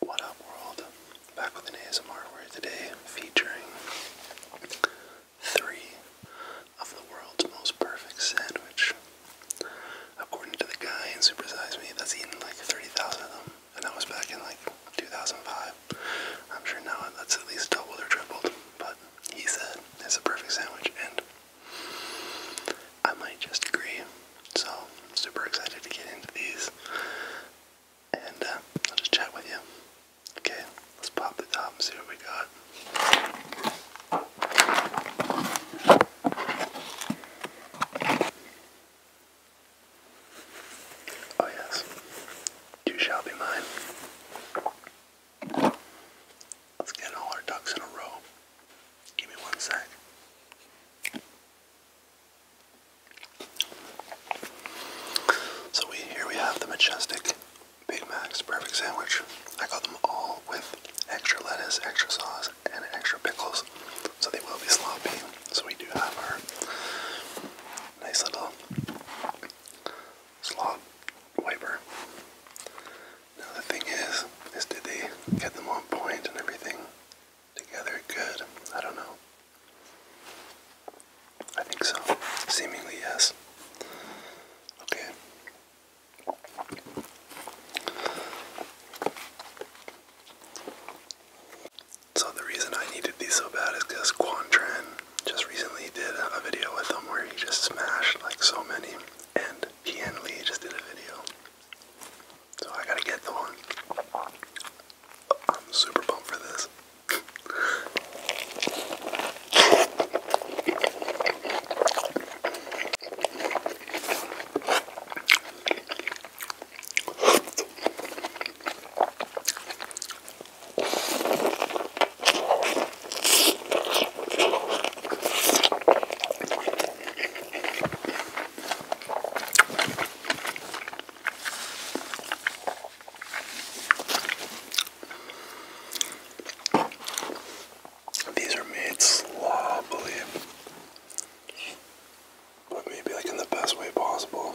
What up, world? Back with an ASMR where today featuring three of the world's most perfect sandwich. According to the guy in Super Size Me, that's eaten like 30,000 of them, and that was back in like 2005. I'm sure now that's at least doubled or tripled, but he said it's a perfect sandwich, and I might just agree. So I'm super excited to get into these, and uh, I'll just chat with you. Okay, let's pop the top and see what we got. Oh yes, you shall be mine. Let's get all our ducks in a row. Give me one sec. So we here we have the majestic Big Macs perfect sandwich. I got them all with extra lettuce, extra sauce, and extra pickles, so they will be sloppy. So we do have our nice little slop wiper. Now the thing is, is did they get them on point and everything? together good. I don't know. I think so. Seemingly, yes. Okay. So the reason I needed these so bad is because Quantran just recently did a video with them where he just smashed like so many, and he and Lee just did a video. So I gotta get the one. I'm super pumped for this. These are made sloppily, but maybe like in the best way possible.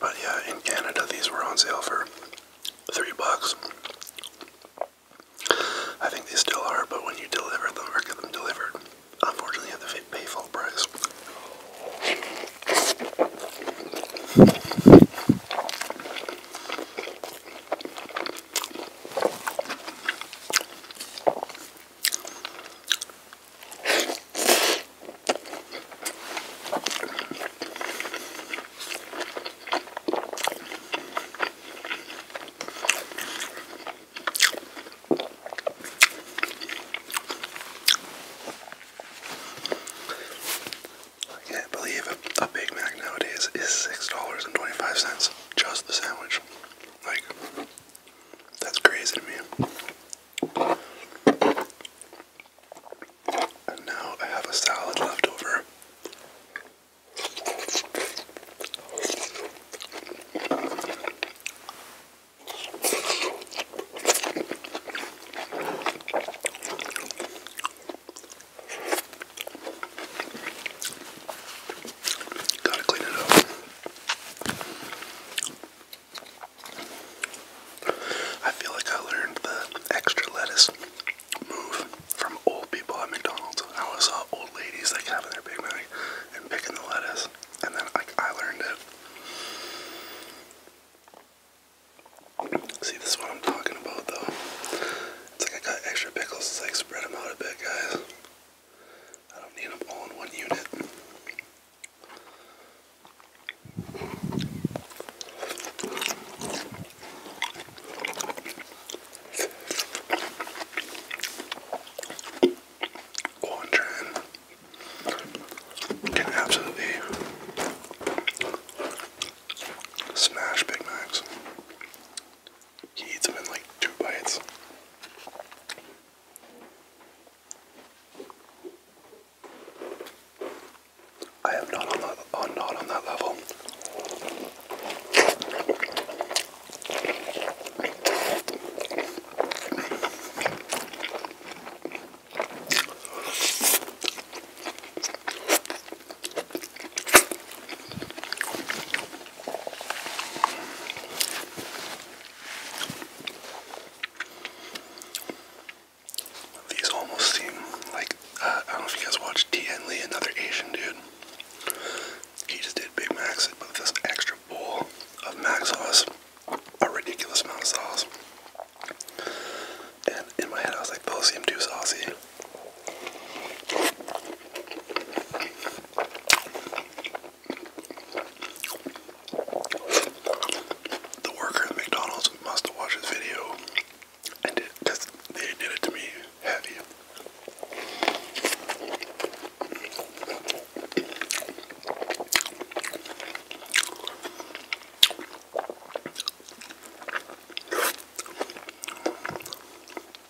But yeah, in Canada these were on sale for three bucks. I think they still are, but when you deliver them or get them delivered, unfortunately you have to pay full price. I can't believe a Big Mac nowadays is $6.25, just the sandwich. Like, that's crazy to me. And now I have a salad left over. Gotta clean it up. I feel like I learned the extra lettuce move from old people at McDonald's. I saw old ladies like having their Big Mac and picking the lettuce, and then like I learned it. See, this is what I'm talking about, though. It's like I got extra pickles. It's like spread them out a bit, guys. I don't need them all in one unit. can absolutely smash Big Macs. He eats them in like two bites. I am not on that I'm uh, not on that level. These almost seem like uh, I don't know if you guys watched Tien Lee, another Asian dude. He just did Big Macs, but with this extra bowl of Mac sauce, a ridiculous amount of sauce. And in my head, I was like, those seem too saucy. The worker at McDonald's must have watched this video and it they did it to me heavy.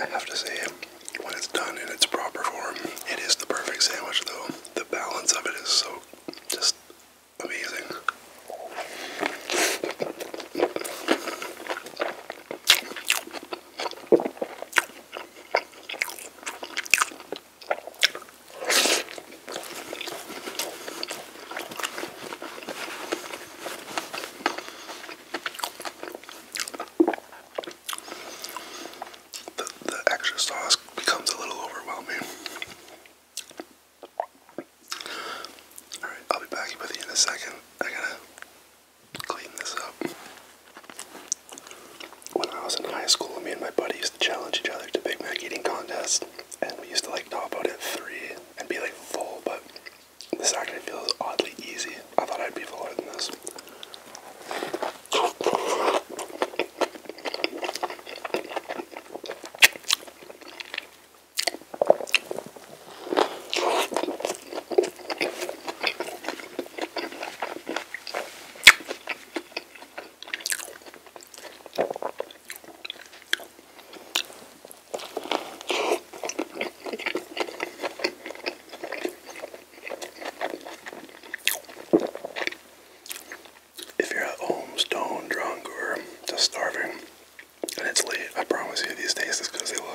I have to say, when it's done in its proper form, it is the perfect sandwich though. The balance of it is so just amazing. The, extra sauce becomes a little overwhelming. Alright, I'll be back with you in a second. I gotta clean this up. When I was in high school, me and my buddy used to challenge each other to Big Mac eating contests, and we used to like top out at three and be like full, but this actually feels oddly easy. I thought I'd be fuller than this. If you're at home stone drunk or just starving and it's late, I promise you these taste as good they look.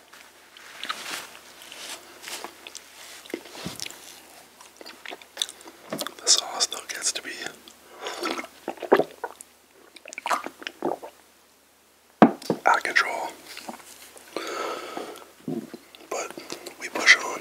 The sauce, still gets to be out of control. But we push on.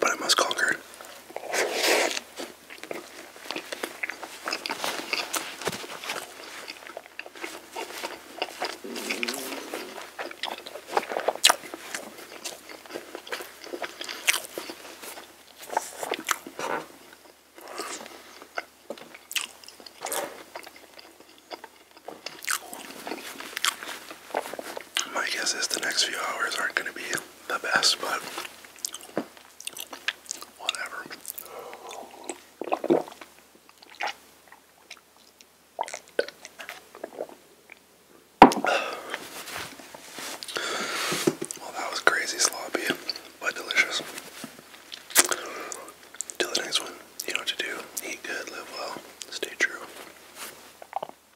But I must conquer it. My guess is the next few hours aren't going to be the best, but whatever. Well, that was crazy sloppy, but delicious. Till the next one, you know what to do. Eat good, live well, stay true.